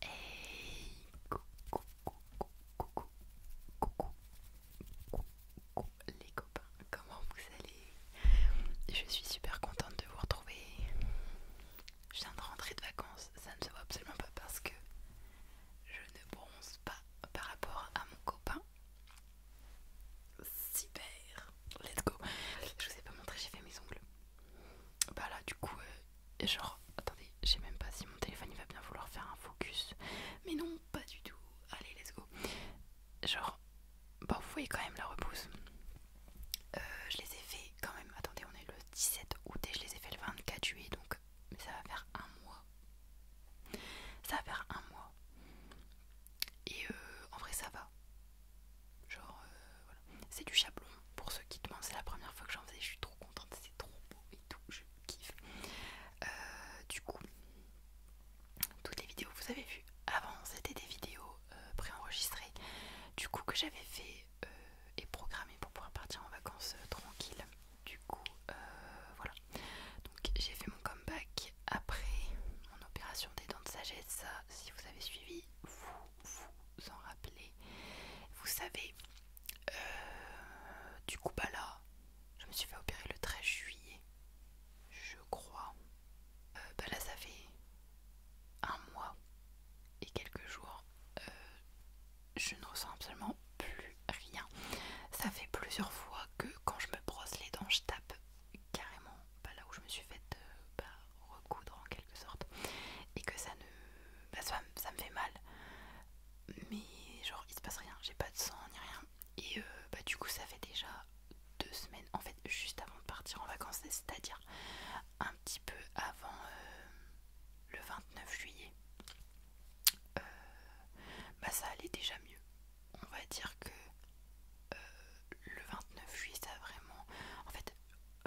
Hey, coucou, coucou, coucou, coucou, coucou, les copains, comment vous allez Je suis super contente de vous retrouver. Je viens de rentrer de vacances, ça ne se voit absolument pas parce que je ne bronze pas par rapport à mon copain. Super, let's go. Je vous ai pas montré, j'ai fait mes ongles. Bah là, du coup, genre, attendez, je sais même pas si mon téléphone il va bien vouloir faire un focus. Mais non, pas du tout. Allez, let's go. Genre, bah vous voyez quand même la repousse. Euh, je les ai fait quand même. Attendez, on est le 17 août et je les ai fait le 24 juillet, donc ça va faire un mois. Ça va faire un mois. Et euh, en vrai, ça va. Genre, euh, C'est du chablon pour ceux qui demandent. C'est la première fois que j'en faisais. Je suis trop contente. C'est trop beau et tout. Je kiffe. Euh, du coup, toutes les vidéos que vous avez vues avant, c'était des vidéos euh, préenregistrées. Du coup, que j'avais fait et programmées pour pouvoir partir en vacances tranquille. Du coup, voilà. Donc, j'ai fait mon comeback après mon opération des dents de sagesse. si vous avez suivi, vous vous en rappelez. Vous savez, euh, du coup, bah là, je me suis fait opérer le 13 juillet, je crois. Euh, bah là, ça fait un mois et quelques jours. Euh, je ne ressens absolument plus rien. Ça fait plusieurs fois que quand je me brosse les dents, je tape carrément pas là où je me suis faite euh, bah, recoudre en quelque sorte et que ça ne bah, ça, me fait mal mais genre il se passe rien j'ai pas de sang ni rien et euh, bah du coup ça fait déjà deux semaines en fait juste avant de partir en vacances c'est à dire un petit peu avant euh, le 29 juillet bah ça allait déjà mieux on va dire que le 29 juillet ça a vraiment en fait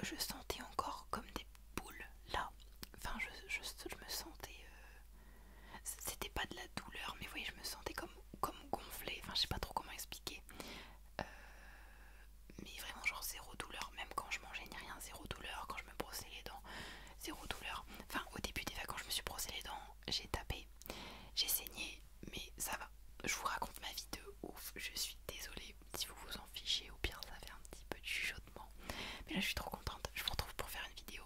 je sentais encore comme des boules là. Enfin, je, me sentais. Euh, c'était pas de la douleur, mais vous voyez, je me sentais comme, comme gonflée. Enfin, je sais pas trop comment expliquer. Euh, mais vraiment, genre zéro douleur. Même quand je mangeais, ni rien, zéro douleur. Quand je me brossais les dents, zéro douleur. Enfin, au début des vacances, je me suis brossé les dents, j'ai tapé, j'ai saigné, mais ça va. Je vous raconte ma vie de ouf. Je suis désolée, si vous vous en fichez, au pire ça fait un petit peu de chuchotement. Mais là je suis trop contente, je vous retrouve pour faire une vidéo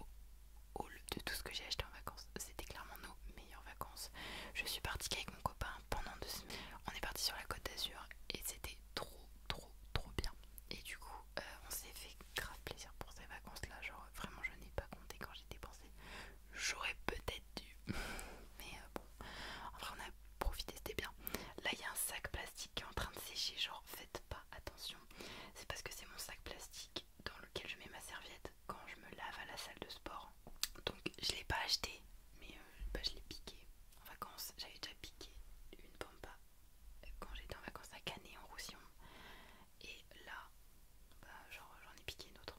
haul de tout ce que j'ai acheté en vacances. C'était clairement nos meilleures vacances. Je suis partie avec mon copain pendant deux semaines. On est parti sur la côte d'Azur et c'était trop trop trop bien. Et du coup euh, on s'est fait grave plaisir pour ces vacances là. Genre vraiment je n'ai pas compté quand j'ai dépensé. J'aurais peut-être dû. Mais euh, bon Enfin, En vrai, on a profité, c'était bien. Là, il y a un sac plastique qui est en train de sécher. Genre, faites pas attention. C'est parce que c'est mon sac plastique dans lequel je mets ma serviette quand je me lave à la salle de sport. Donc, je l'ai pas acheté, mais euh, bah, je l'ai piqué en vacances. J'avais déjà piqué une pampa euh, quand j'étais en vacances à Canet en Roussillon. Et là, bah, genre, j'en ai piqué une autre.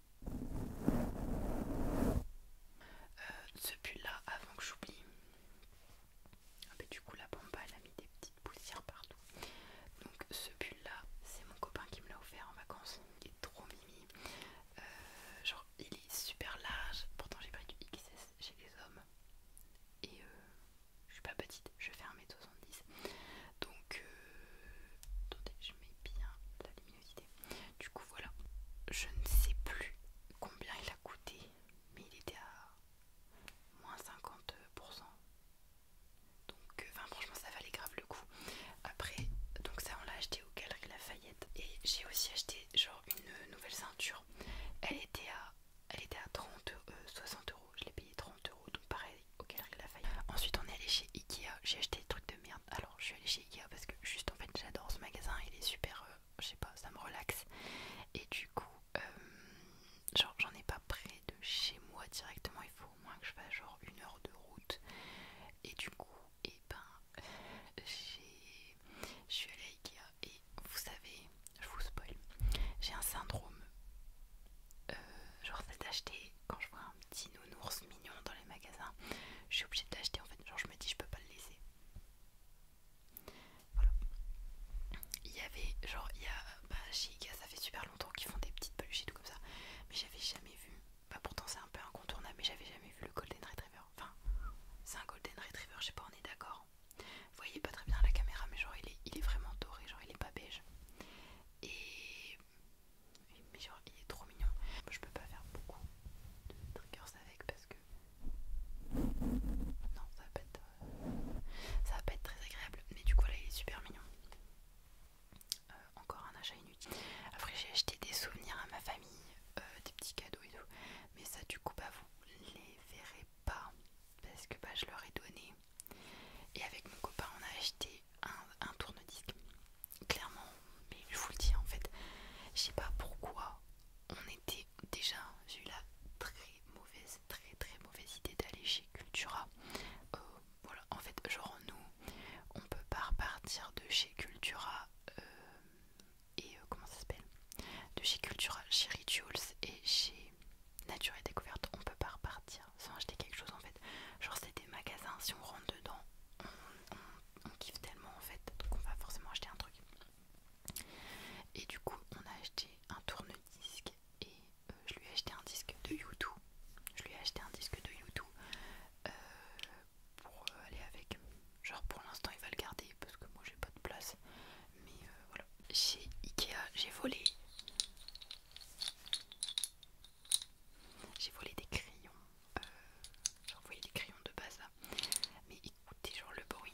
Euh, ce pull là, avant que j'oublie, ah, bah, du coup la pompe elle a mis des petites poussières partout. Donc ce pull là, c'est mon copain qui me l'a offert en vacances. Il est trop mimi. Euh, genre il est super large. Pourtant j'ai pris du XS chez les hommes. Et euh, je suis pas petite, je fais un m 70 donc euh, attendez je mets bien la luminosité du coup voilà je ne sais plus combien il a coûté mais il était à moins 50% donc euh, franchement ça valait grave le coup après donc ça on l'a acheté au Galerie Lafayette et j'ai aussi acheté genre une euh, nouvelle ceinture elle était à elle était à 30 je l'ai payé 30€, donc pareil règle la faille Ensuite, on est allé chez Ikea. J'ai acheté des trucs de merde. Alors, je suis allée chez Ikea parce que juste en fait, j'adore ce magasin. Il est super, euh, je sais pas, ça me relaxe. Et du coup, euh, genre, j'en ai pas près de chez moi directement. Il faut au moins que je fasse genre une heure de route. Et du coup, et eh ben, je suis allée à Ikea. Et vous savez, je vous spoil, j'ai un syndrome euh, genre c'est d'acheter quand je vois un petit nounours mignon dans les magasins je suis obligée de l'acheter en fait genre je me dis je peux pas le laisser voilà il y avait genre il y a bah, chez Iga ça fait super longtemps qu'ils font des petites peluches et tout comme ça mais j'avais jamais vu bah pourtant c'est un peu incontournable mais j'avais jamais vu le golden retriever enfin c'est un golden retriever je sais pas on est d'accord vous voyez pas très bien la caméra mais genre il est, il est vraiment doré genre il est pas beige et mais genre il est trop mignon. je peux pas faire beaucoup de triggers avec parce que non ça va pas être euh, ça va pas être très agréable. Mais du coup là il est super mignon. Euh, encore un achat inutile. Après j'ai acheté des souvenirs à ma famille, euh, des petits cadeaux et tout. Mais ça du coup bah vous les verrez pas parce que bah je leur ai donné. Et avec mon copain on a acheté un, tourne-disque. Clairement, mais je vous le dis en fait, je sais pas pourquoi on était déjà, j'ai eu la très mauvaise, très très mauvaise idée d'aller chez Cultura. Euh, voilà, en fait, genre nous, on peut pas repartir de chez Cultura euh, et euh, comment ça s'appelle De chez Cultura, chez Rituals et chez nature et découverte, on peut pas repartir sans acheter quelque chose en fait. Genre, c'est des magasins, si on rentre dedans, on, kiffe tellement en fait, donc on va forcément acheter un truc. Et du coup, on a acheté un tourne-disque et euh, je lui ai acheté un disque de YouTube. Je lui ai acheté un disque de YouTube euh, pour euh, aller avec. Genre, pour l'instant, il va le garder parce que moi j'ai pas de place. Mais voilà. Chez Ikea, j'ai volé j'ai volé des crayons, euh, j'ai envoyé des crayons de base mais écoutez genre le bruit.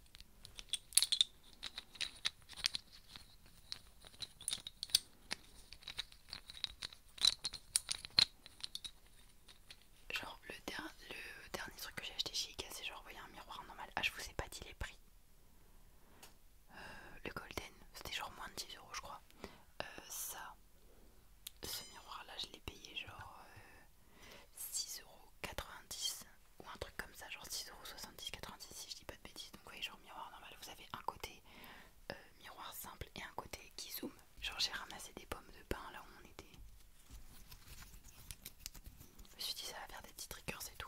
Genre le, dernier truc que j'ai acheté chez Ikea c'est genre vous voyez un miroir normal. Ah je vous ai pas dit les prix. Euh, le golden c'était genre moins de 10 euros je crois. Euh, ça, ce miroir là je l'ai payé genre euh, 6,90€ ou un truc comme ça, genre 6,70€, 90 si je dis pas de bêtises. Donc, voyez genre miroir normal, vous avez un côté euh, miroir simple et un côté qui zoom Genre, j'ai ramassé des pommes de pain là où on était. Je me suis dit, ça va faire des petits triggers et tout.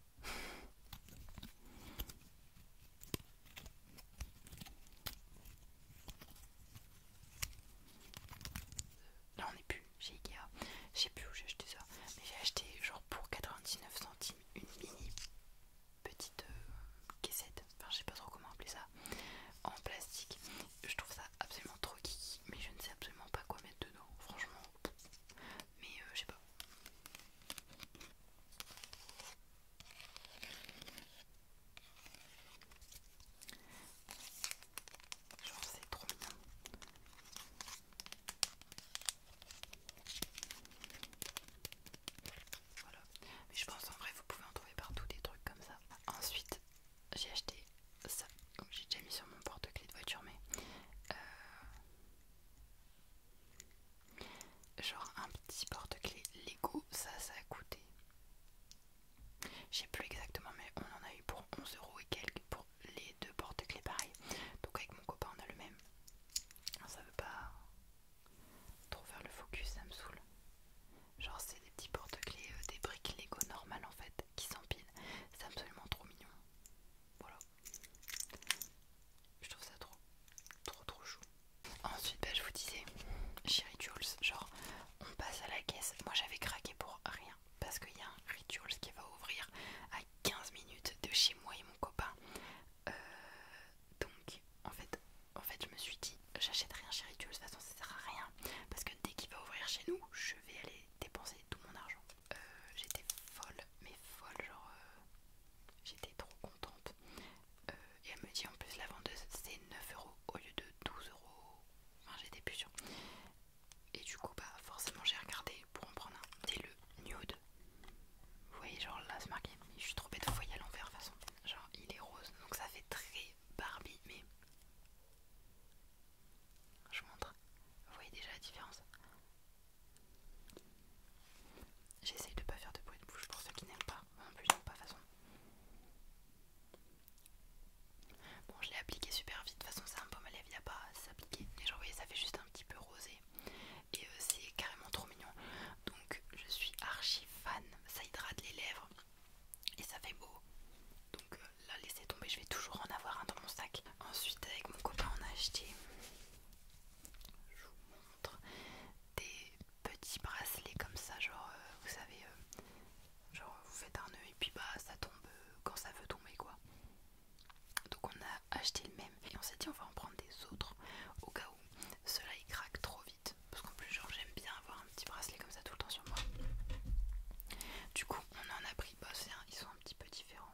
Là on est plus chez Ikea. Je sais plus où j'ai acheté ça. Mais j'ai acheté genre pour 99 centimes une mini petite cassette. Euh, caissette. Enfin je sais pas trop comment appeler ça. En plastique. Je trouve ça absolument trop kiki. Mais je ne sais absolument pas quoi mettre dedans. Franchement mais euh, je sais pas. Genre c'est trop mignon. Voilà. Mais je pense en vrai vous pouvez en trouver partout des trucs comme ça. Ensuite j'ai acheté ça. J'ai déjà mis sur mon porte-clés de voiture mais... Euh, Genre un petit porte-clés Lego, ça, ça a coûté. Je sais plus exactement, mais on en a eu pour 11 euros et quelques pour les deux porte-clés pareil. Donc avec mon copain, on a le même. Ça veut pas trop faire le focus, ça me saoule. Genre, c'est des petits porte-clés, euh, des briques Lego normales en fait, qui s'empilent. C'est absolument trop mignon. Voilà. Je trouve ça trop, trop, trop chou. Ensuite, bah, je vous disais, chez Rituals, genre, on passe à la caisse. Moi, j'avais craqué pour rien parce qu'il y a un Rituals qui va ouvrir à 15 minutes de chez moi et mon copain. Euh, donc, en fait, en fait, je me suis dit, j'achète rien chez Rituals, de toute façon, ça sert à rien parce que dès qu'il va ouvrir chez nous, je vais aller dépenser tout mon argent. Euh, j'étais folle, mais folle, genre euh, j'étais trop contente. Euh, et elle me dit en plus la vendeuse c'est 9 euros au lieu de 12 euros. Enfin, j'étais plus sûre. Et du coup, bah forcément, j'ai regardé pour en prendre un. C'est le nude. Vous voyez, genre là, c'est marqué. Je suis trop bête, de voyer à l'envers de toute façon. Genre, il est rose, donc ça fait très Barbie, mais. Je vous montre. Vous voyez déjà la différence J'essaye de pas faire de bruit de bouche pour ceux qui n'aiment pas. en plus, non pas façon. Bon, je l'ai appliqué super vite. De toute façon, c'est un peu à lèvres, il n'y a pas à s'appliquer. Mais genre, vous voyez, ça fait juste un petit peu rosé. Et euh, c'est carrément trop mignon. Donc, je suis archi fan. Ça hydrate les lèvres et ça fait beau. Donc euh, là, laissez tomber, je vais toujours en avoir un dans mon sac. Ensuite, avec mon copain, on a acheté, je vous montre, des petits bracelets comme ça, genre, euh, vous savez, euh, genre vous faites un nœud et puis bah ça tombe euh, quand ça veut tomber quoi. Donc on a acheté le même et on s'est dit on va en prendre des autres au cas où ceux-là ils craquent trop vite parce qu'en plus genre j'aime bien avoir un petit bracelet comme ça tout le temps sur moi. Du coup on en a pris, pas bah, un, ils sont un petit peu différents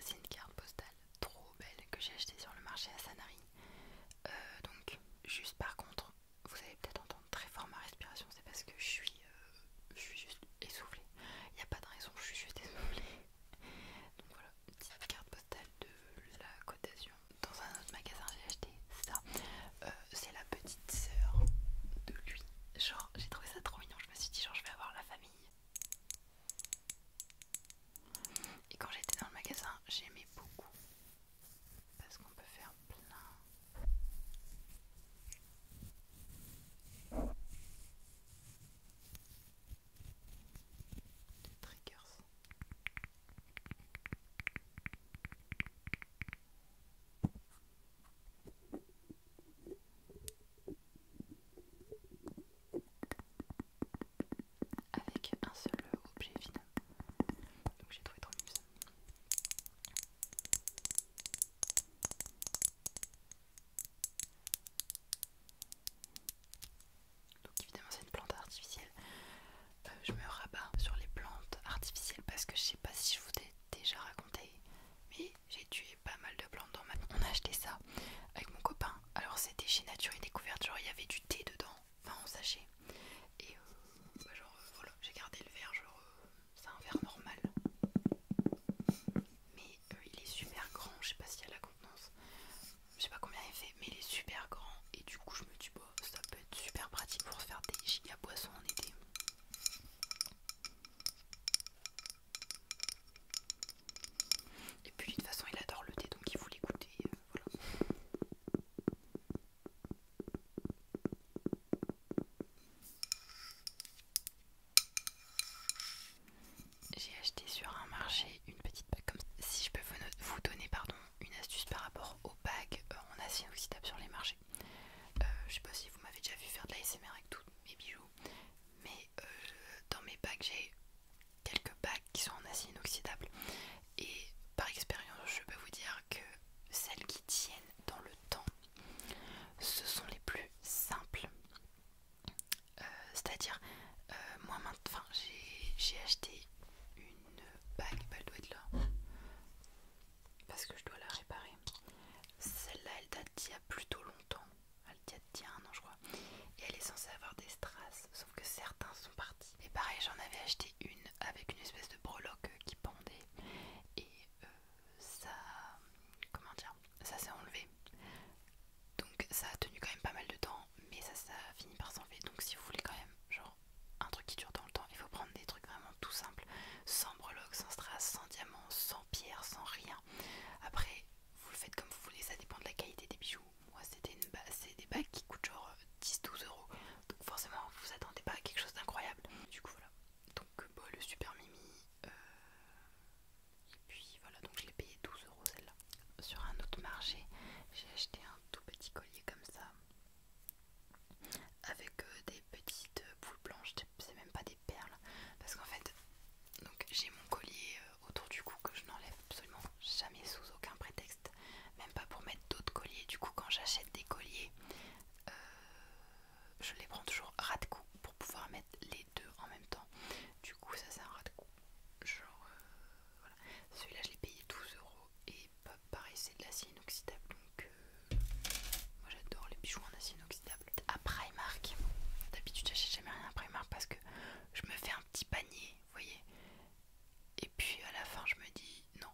C'est une carte postale trop belle que j'ai achetée sur le marché à Sanary. Euh, donc, juste par contre, vous allez peut-être entendre très fort ma respiration, c'est parce que je suis, euh, je suis juste essoufflée. Il n'y a pas de raison, je suis juste essoufflée. Donc voilà, petite carte postale de la Côte d'Azur. Dans un autre magasin, j'ai acheté ça. Euh, c'est la petite sœur de lui. Genre, j'ai trouvé ça trop mignon. Je me suis dit, genre, je vais avoir la famille. Et quand j'étais dans le magasin, j'aimais beaucoup. Parce qu'on peut faire plein de triggers avec un seul objet final Donc j'ai trouvé trop mieux Donc évidemment c'est une plante artificielle. Euh, je me rabats sur les plantes artificielles parce que je sais pas si je vous ai déjà raconté, mais j'ai tué pas mal de plantes dans ma On a acheté ça avec mon copain. Alors c'était chez Nature et Découverte, genre il y avait du thé dedans, enfin on sachet. Et euh, bah, genre euh, voilà, j'ai gardé le verre, genre c'est un verre normal. Mais il est super grand, je sais pas s'il y a la contenance, je sais pas combien il fait, mais il est super grand. Et du coup je me pas ça peut être super pratique pour faire des giga boissons en été. Et puis de toute façon il adore le thé donc il faut l'écouter. Euh, voilà. J'ai acheté sur un marché une petite bague comme ça. Si je peux vous donner pardon une astuce par rapport aux bagues euh, en acier inoxydable sur les marchés. Euh, je sais pas si vous m'avez déjà vu faire de l'ASMR avec tous mes bijoux, mais euh, dans mes bagues j'ai quelques bagues qui sont en acier inoxydable et par expérience je peux vous dire que celles qui tiennent dans le temps ce sont les plus simples. C'est-à-dire moi maintenant j'ai acheté une une bague, bah, elle doit être là parce que je dois la réparer. Celle-là, elle date d'il y a plutôt longtemps, elle date d'il y a un an, je crois, et elle est censée avoir des strass, sauf que certains sont partis. Et pareil, j'en avais acheté une avec une espèce de breloque qui pendait, et euh, ça. Comment dire Ça s'est enlevé. Donc ça a tenu quand même pas mal de temps mais ça, ça finit par s'enlever. Donc, si vous voulez quand même, genre, un truc qui dure dans le temps, il faut prendre des trucs vraiment tout simples, sans breloques, sans strass, sans diamants, sans pierre, sans rien. Après, vous le faites comme vous voulez, ça dépend de la qualité des bijoux. Moi, c'était des bagues qui coûtent genre 10-12 euh, euros, donc forcément, vous vous attendez pas à quelque chose d'incroyable. Du coup, voilà. Donc, euh, bon, bah, le super mimi. Euh, et puis voilà, donc je l'ai payé 12 euros celle-là. Sur un autre marché, j'ai acheté un tout petit collier comme ça avec euh, des petites euh, boules blanches, c'est même pas des perles, parce qu'en fait, donc j'ai mon collier euh, autour du cou que je n'enlève absolument jamais sous aucun prétexte, même pas pour mettre d'autres colliers. Du coup, quand j'achète des colliers, je les prends toujours ras de cou pour pouvoir mettre les deux en même temps. Du coup, ça c'est un ras de cou. Genre, celui-là, je l'ai payé 12€ euros et pas pareil, c'est de l'acier inoxydable. Donc, euh, moi j'adore les bijoux en acier inoxydable. À Primark, d'habitude, j'achète jamais rien à Primark parce que je me fais un petit panier, vous voyez. Et puis à la fin, je me dis non.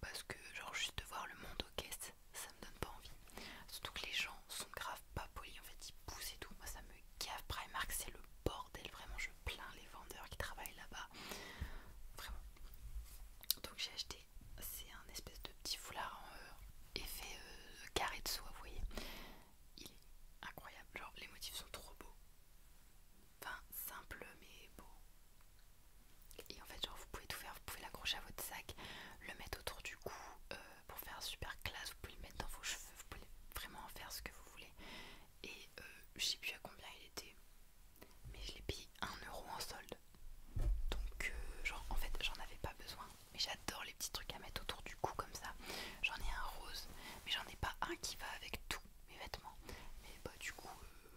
Parce que, genre, juste de voir le monde aux caisses, ça me donne pas envie. Surtout que les gens sont grave pas polis, en fait, ils poussent et tout. Moi, ça me Cave Primark, c'est le bordel. Vraiment, je plains les vendeurs qui travaillent là-bas. Vraiment. Donc, j'ai acheté. C'est un espèce de petit foulard en effet euh, carré de soie, vous voyez. Il est incroyable. Genre, les motifs sont trop beaux. Enfin, simple mais beau. Et en fait, genre, vous pouvez tout faire. Vous pouvez l'accrocher à votre sac, le mettre autour du cou euh, pour faire super classe. Vous pouvez le mettre dans vos cheveux. Vous pouvez vraiment en faire ce que vous voulez et euh, je sais plus à combien il était mais je l'ai payé 1€ en solde donc euh, genre en fait j'en avais pas besoin mais j'adore les petits trucs à mettre autour du cou comme ça j'en ai un rose mais j'en ai pas un qui va avec tous mes vêtements mais bah du coup euh,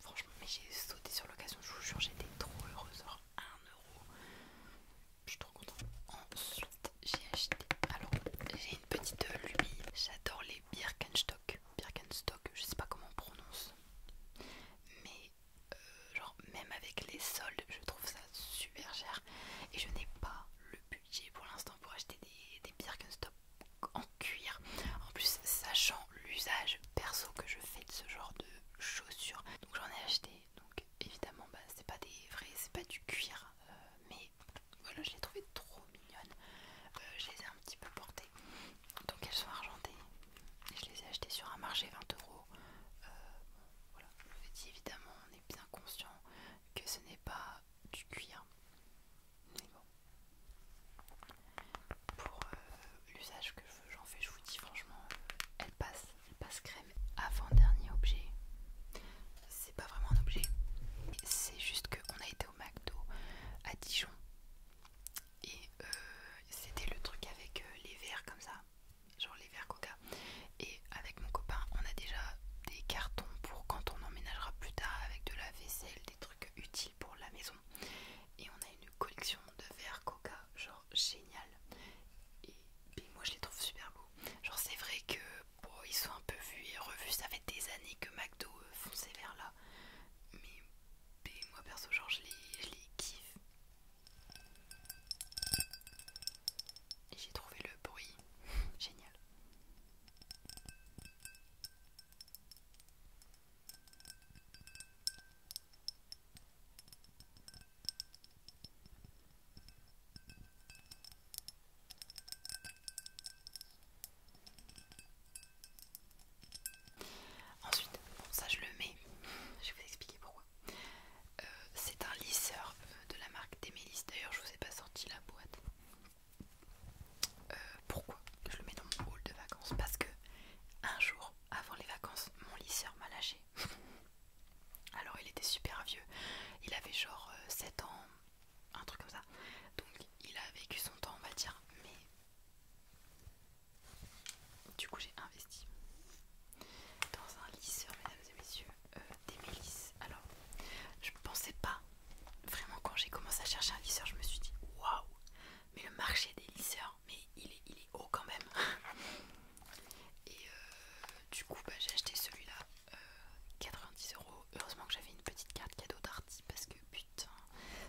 franchement mais j'ai sauté sur l'occasion je vous jure j'étais trop heureuse genre 1€ euro je suis trop contente ensuite j'ai acheté. Alors, j'ai une petite lubie. J'adore les Birkenstock. Birkenstock, je sais pas comment on prononce. Mais, euh, genre, même avec les soldes, je trouve ça super cher. Et je n'ai pas le budget pour l'instant pour acheter des, Birkenstock en cuir. En plus, sachant l'usage perso que je fais de ce genre de chaussures. Donc, j'en ai acheté. Donc, évidemment, bah, c'est pas des vrais, c'est pas du cuir. Euh, mais voilà, je les trouvais trop mignonnes. Euh, je les ai un petit peu portées. Donc elles sont argentées. je les ai achetées sur un marché 20 euros. Euh, voilà, je vous ai dit évidemment, on est bien conscient que ce n'est pas du cuir. Mais bon. Pour euh, l'usage que j'en fais, je vous dis franchement, elles passent, elles passe crème. Avant-dernier objet pas vraiment un objet. C'est juste que on a été au McDo à Dijon et euh, c'était le truc avec euh, les verres comme ça, genre les verres coca. Et avec mon copain, on a déjà des cartons pour quand on emménagera plus tard avec de la vaisselle, des trucs utiles pour la maison. Et on a une collection de verres coca, genre génial. Et, et moi je les trouve super beaux. Genre c'est vrai que bon, ils sont un peu vus et revus. Ça fait des années que McDo euh, fonce vers là. Mais, moi perso, genre, je les, je les kiffe. J'ai trouvé le bruit génial. Ensuite, ça je le mets, je vais vous expliquer pourquoi. Euh, c'est un lisseur euh, de la marque Demelis, d'ailleurs je vous ai pas sorti la boîte. Euh, pourquoi je le mets dans mon hall de vacances Parce que un jour avant les vacances, mon lisseur m'a lâché. Alors il était super vieux, il avait genre 7 ans, un truc comme ça. Donc il a vécu son temps, on va dire, mais du coup j'ai investi dans un lisseur, mesdames et messieurs, euh, des milices Alors, je pensais pas vraiment quand j'ai commencé à chercher un lisseur, je me suis dit waouh, mais le marché des lisseurs, mais il est, il est haut quand même. Et euh, du coup, bah, j'ai acheté celui-là 90 euh, euros. Heureusement que j'avais une petite carte cadeau d'Arty parce que putain,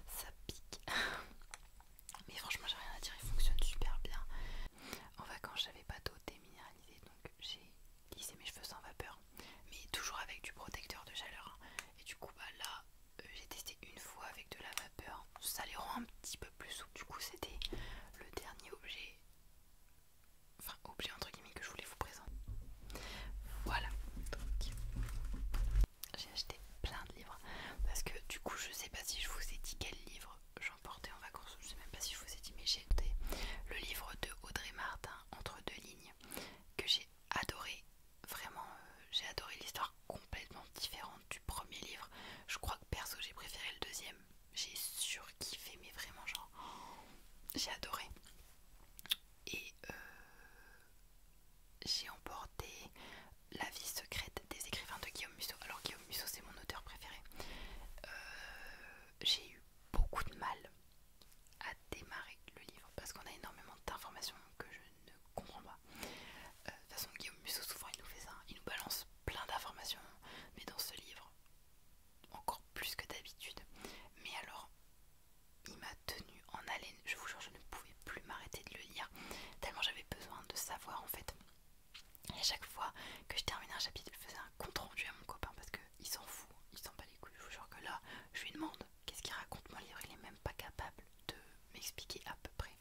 ça pique. Mais franchement, j'ai rien à dire, il fonctionne super bien. En vacances, j'avais pas d'eau déminéralisée donc j'ai lissé mes cheveux sans vapeur, mais toujours avec du protecteur de chaleur. Hein. Et du coup, bah là, euh, j'ai testé une fois avec de la vapeur, ça les rend un petit peu plus souples. Du coup, c'était le dernier objet enfin objet entre guillemets que je voulais vous présenter. Voilà, donc j'ai acheté plein de livres parce que du coup je sais pas si je vous ai dit quel livre j'emportais en vacances, je ne sais même pas si je vous ai dit mais j'ai acheté le livre de Audrey Martin entre deux lignes que j'ai adoré, vraiment euh, j'ai adoré l'histoire complètement différente du premier livre. Je crois que perso j'ai préféré le deuxième j'ai surkiffé, mais vraiment, genre, j'ai adoré. Et euh, j'ai emporté La vie secrète des écrivains de Guillaume Musso. Alors, Guillaume Musso, c'est mon auteur préféré. Euh, j'ai eu beaucoup de mal à démarrer le livre parce qu'on a énormément d'informations que je ne comprends pas. Euh, de toute façon, Guillaume Musso, souvent, il nous fait ça, il nous balance plein d'informations, mais dans ce livre, encore plus que d'habitude. Mais alors, il m'a tenu en haleine. Je vous jure, je ne pouvais plus m'arrêter de le lire. Tellement j'avais besoin de savoir en fait. Et à chaque fois que je terminais un chapitre, je faisais un compte rendu à mon copain parce qu'il s'en fout, il s'en bat les couilles. Je vous jure que là, je lui demande qu'est-ce qu'il raconte mon livre. Il est même pas capable de m'expliquer à peu près.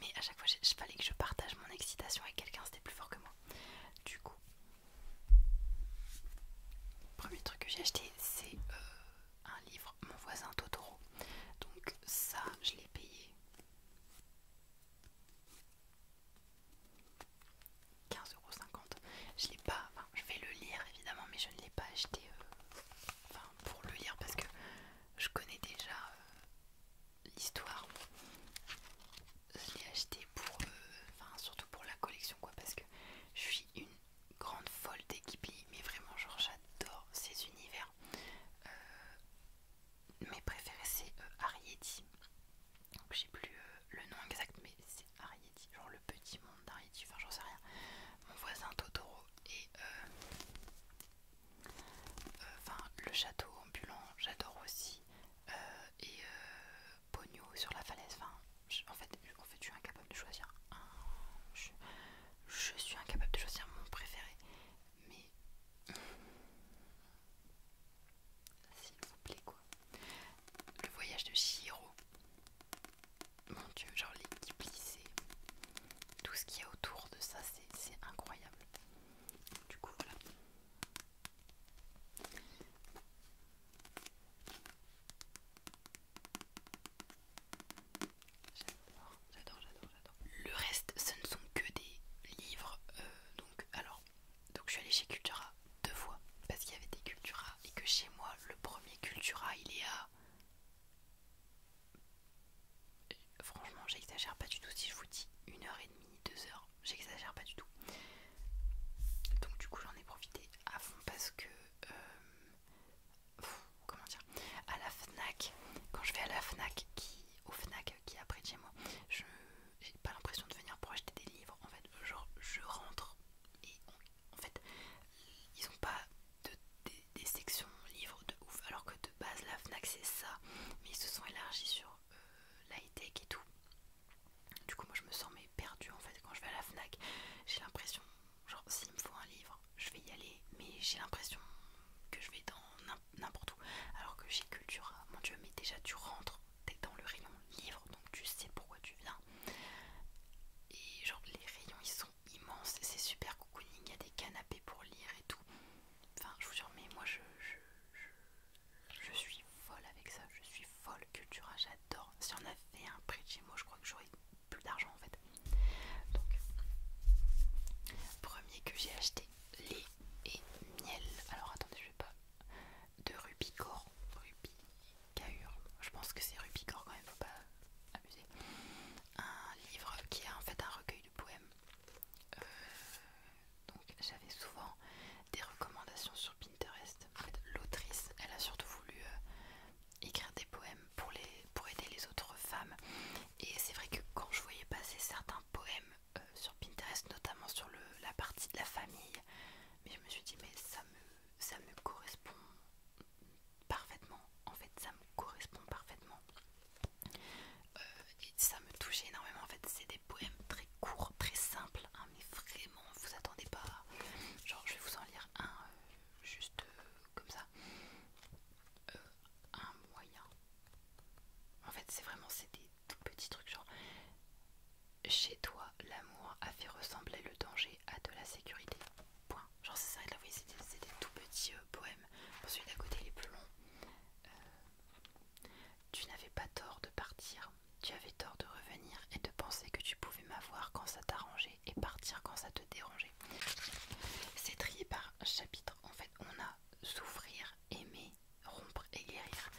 Mais à chaque fois, il fallait que je partage mon excitation avec quelqu'un, c'était plus fort que moi. Du coup, le premier truc que j'ai acheté, c'est euh, un livre, Mon voisin Totoro. Donc ça, je l'ai payé 15,50€. Je l'ai pas, enfin, je vais le lire évidemment, mais je ne l'ai pas acheté euh, enfin, pour le lire parce que je connais déjà euh, l'histoire je l'ai acheté pour, euh, enfin surtout pour la collection quoi, parce que je suis une grande folle d'équipe mais vraiment genre j'adore ces univers. Euh, mes préférés c'est euh, Ariety, donc j'ai plus le nom exact, mais c'est Ariety, genre le petit monde d'Ariety, enfin j'en sais rien. Mon voisin Totoro et le château ambulant, j'adore aussi. et Pogno sur la falaise. Enfin, en, fait, je, fait, suis incapable de choisir un. Je, suis incapable de choisir mon préféré. Mais. S'il vous plaît, quoi. Le voyage de Shihiro. Mon dieu, genre l'équipe lycée. Tout ce qu'il y a autour de ça, c'est incroyable. Du coup, voilà. J'adore, j'adore, j'adore. Le reste, ce ne sont que des livres. Euh, donc, alors, donc je suis allée chez Cultura deux fois parce qu'il y avait des Cultura et que chez moi, le premier Cultura, il est à. Euh, franchement, j'exagère pas du tout si je vous dis une heure et demie, deux heures j'exagère pas du tout. Donc du coup j'en ai profité à fond parce que euh, comment dire à la FNAC quand je vais à la FNAC qui au FNAC qui est après chez moi je j'ai pas l'impression de venir pour acheter des livres en fait genre je rentre et en fait ils ont pas de, des, des sections livres de ouf alors que de base la FNAC c'est ça mais ils se sont élargis sur euh, la tech et tout. Du coup, moi je me sens mais perdue en fait quand je vais à la Fnac. J'ai l'impression, genre, s'il me faut un livre, je vais y aller, mais j'ai l'impression que je vais dans n'importe où. Alors que j'ai culture. Ah, mon dieu, mais déjà tu rentres, t'es dans le rayon livre, donc tu sais pourquoi tu viens. Et genre, les rayons ils sont immenses, c'est super cocooning, il y a des canapés pour lire et tout. Enfin, je vous jure, mais moi je, je, je suis folle avec ça, je suis folle Cultura, j'adore. Si on avait un prix de chez moi, je crois que j'aurais plus d'argent en fait. Donc, premier que j'ai acheté, les et miel. Alors attendez, je vais pas. De Rubicor, Rubicahur, Je pense que c'est Rubicor quand même, faut pas abuser. Un livre qui est en fait un recueil de poèmes. Euh, donc j'avais souvent des recommandations sur Pinterest. En fait, l'autrice, elle a surtout voulu euh, écrire des poèmes pour, les, pour aider les autres femmes. Et c'est vrai que quand je voyais passer certains poèmes euh, sur Pinterest, notamment sur le, la partie de la famille, mais je me suis dit mais ça me, ça me correspond parfaitement. En fait, ça me correspond parfaitement. Euh, et ça me touchait énormément en fait c'est des poèmes très courts très simples hein, mais vraiment vous attendez pas genre je vais vous en lire un euh, juste euh, comme ça un moyen en fait c'est vraiment c'est des tout petits trucs genre chez toi l'amour a fait ressembler le danger à de la sécurité point genre c'est ça vous voyez c'est des, tout petits poèmes celui à côté les est plus long tu n'avais pas tort de partir, tu avais tort de revenir et de penser que tu pouvais m'avoir quand ça t'arrangeait et partir quand ça te dérangeait. C'est trié par chapitre. En fait, on a souffrir, aimer, rompre et guérir.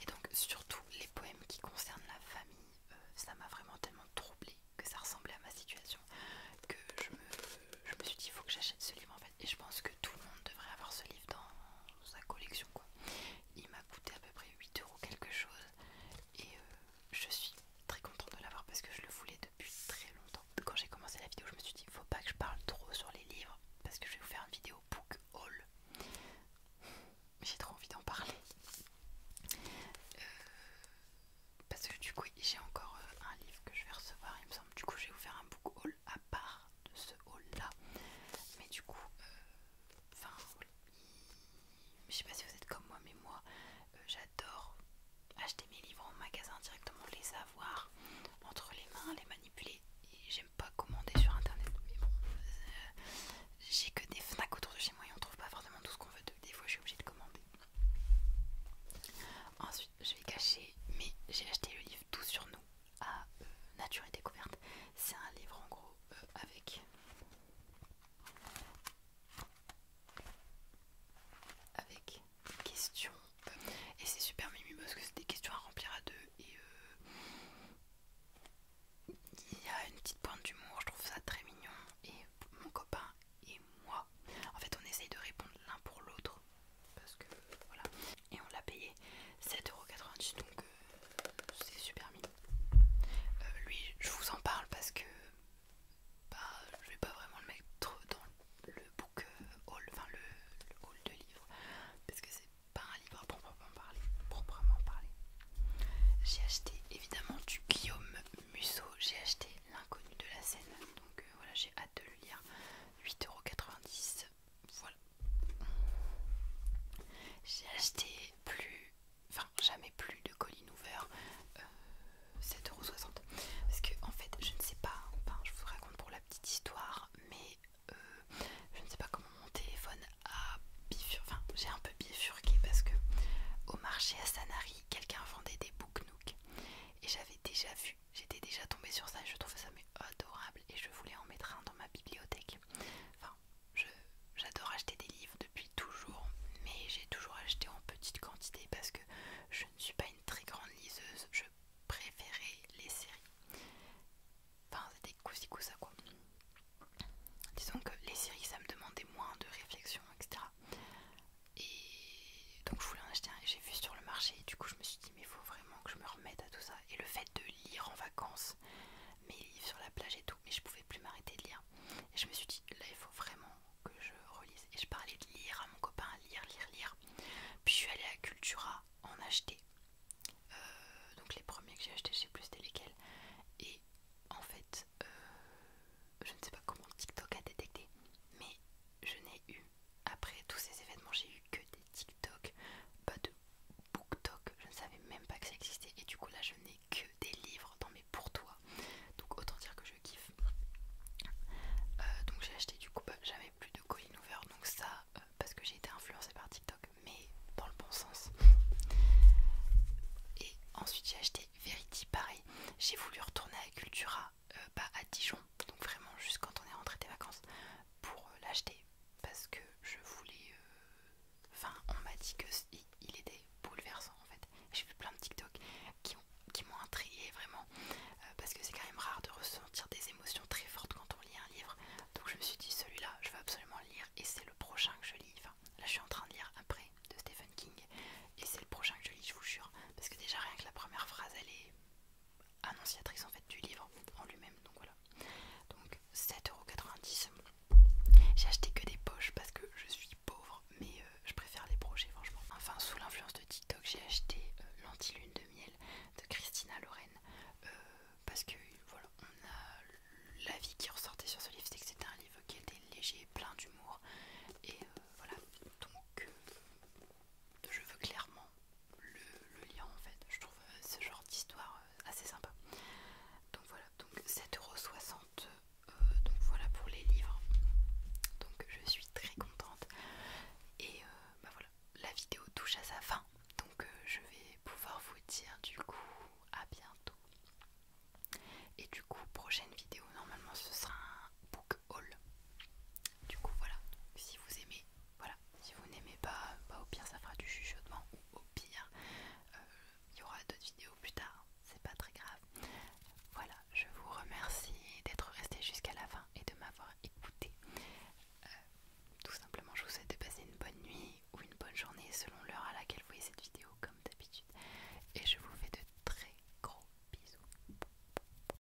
Et donc, surtout les poèmes qui concernent la famille, euh, ça m'a vraiment tellement troublée que ça ressemblait à ma situation que je me, je me suis dit il faut que j'achète ce livre en fait. Et je pense que tout le monde devrait avoir ce livre dans sa collection quoi. Il m'a coûté à peu près 8 euros quelque chose et euh, je suis très contente de l'avoir parce que je le voulais depuis très longtemps. Quand j'ai commencé la vidéo je me suis dit il faut pas que je parle trop sur les livres parce que je vais vous faire une vidéo book haul. J'ai trop envie d'en parler. Euh, parce que du coup j'ai encore euh, un livre que je vais recevoir il me semble. Du coup je vais vous faire un book haul à part de ce haul là mais du coup euh, enfin je sais pas si vous êtes comme moi mais moi euh, j'adore acheter mes livres en magasin directement les avoir entre les mains les manipuler et j'aime pas commander sur internet mais bon euh, j'ai que des Fnac autour de chez moi et on trouve pas forcément tout ce qu'on veut des fois je suis obligée de commander ensuite je vais cacher mais j'ai acheté le livre tout sur nous à euh, Nature et Découverte. C'est un livre en gros euh, avec, avec questions. Et c'est super mimi parce que c'est des questions à remplir à deux. Et euh, il y a une petite pointe d'humour, je trouve ça très mignon. Et mon copain et moi, en fait on essaye de répondre l'un pour l'autre parce que voilà et on l'a payé 7,90€ donc euh, c'est super mignon euh, lui je vous en parle parce que bah, je vais pas vraiment le mettre dans le book euh, haul enfin le, haul de livres parce que c'est pas un livre à proprement parler proprement parler j'ai acheté évidemment du Guillaume Musso j'ai acheté l'inconnu de la Seine donc voilà j'ai hâte de le lire 8,90€ voilà. J'ai acheté plus, enfin jamais plus de colis 7 euh, euros 7,60€. Parce que en fait, je ne sais pas, enfin je vous raconte pour la petite histoire, mais euh, je ne sais pas comment mon téléphone a bifurqué, enfin j'ai un peu bifurqué parce que au marché à Sanary, quelqu'un vendait des booknooks et j'avais déjà vu J'étais déjà tombée sur ça et je trouvais ça mais adorable et je voulais en mettre un dans ma bibliothèque. Enfin, j'adore acheter des livres depuis toujours, mais j'ai toujours acheté en petite quantité parce que je ne suis pas une très grande liseuse. Je préférais les séries. Enfin, c'était coussi-coussa quoi. Disons que les séries, ça me demandait moins de réflexion, etc. Et donc je voulais en acheter un et j'ai vu sur le marché, du coup je me suis dit mais il faut vraiment que je me remette à tout ça et le fait de lire en vacances mes livres sur la plage et tout mais je pouvais plus m'arrêter de lire et je me suis dit là il faut vraiment que je relise et je parlais de lire à mon copain lire lire lire puis je suis allée à Cultura en acheter euh, donc les premiers que j'ai achetés je sais plus c'était lesquels et en fait euh, je ne sais pas comment TikTok a détecté mais je n'ai eu, après tous ces événements, j'ai eu que des TikTok, pas de BookTok, je ne savais même pas que ça existait, et du coup là je n'ai que des livres dans mes pour toi, donc autant dire que je kiffe. Euh, donc j'ai acheté du coup bah, j'avais plus de Colin Hoover, donc ça euh, parce que j'ai été influencée par TikTok, mais dans le bon sens. Et ensuite j'ai acheté Verity, pareil, j'ai voulu retourner à Cultura euh, bah, à Dijon, donc vraiment juste quand on est rentré des vacances, pour euh, l'acheter parce que je voulais. Euh, enfin, on m'a dit que il était bouleversant en fait. J'ai vu plein de TikTok qui m'ont qui intrigué vraiment parce que c'est quand même rare de ressentir des émotions très fortes quand on lit un livre. Donc je me suis dit celui-là, je vais absolument le lire et c'est le prochain que je lis. Enfin, là je suis en train de lire après de Stephen King et c'est le prochain que je lis, je vous jure, parce que déjà rien que la première phrase elle est annonciatrice en fait du livre en lui-même. Donc voilà. Donc 7,90€. J'ai acheté que des poches parce que je suis pauvre, mais euh, je préfère les projets, franchement. Enfin, sous l'influence de TikTok, j'ai acheté euh, l'antilune de miel de Christina Lorraine euh, parce que voilà, on a l'avis qui ressortait sur ce livre, c'est que c'était un livre qui était léger, plein d'humour et voilà. Donc je veux clairement le, lien en fait. Je trouve euh, ce genre d'histoire euh, assez sympa. Donc voilà, donc 7,60€. Euh, donc voilà pour les livres. Donc je suis très contente. Et bah voilà, la vidéo touche à sa fin. Donc je vais pouvoir vous dire du coup à bientôt. Et du coup, prochaine vidéo, normalement ce sera un book du coup voilà, si vous aimez, voilà, si vous n'aimez pas, bah, au pire ça fera du chuchotement ou au pire euh, il y aura d'autres vidéos plus tard, c'est pas très grave. Voilà, je vous remercie d'être resté jusqu'à la fin et de m'avoir écouté. Euh, tout simplement je vous souhaite de passer une bonne nuit ou une bonne journée selon l'heure à laquelle vous voyez cette vidéo comme d'habitude et je vous fais de très gros bisous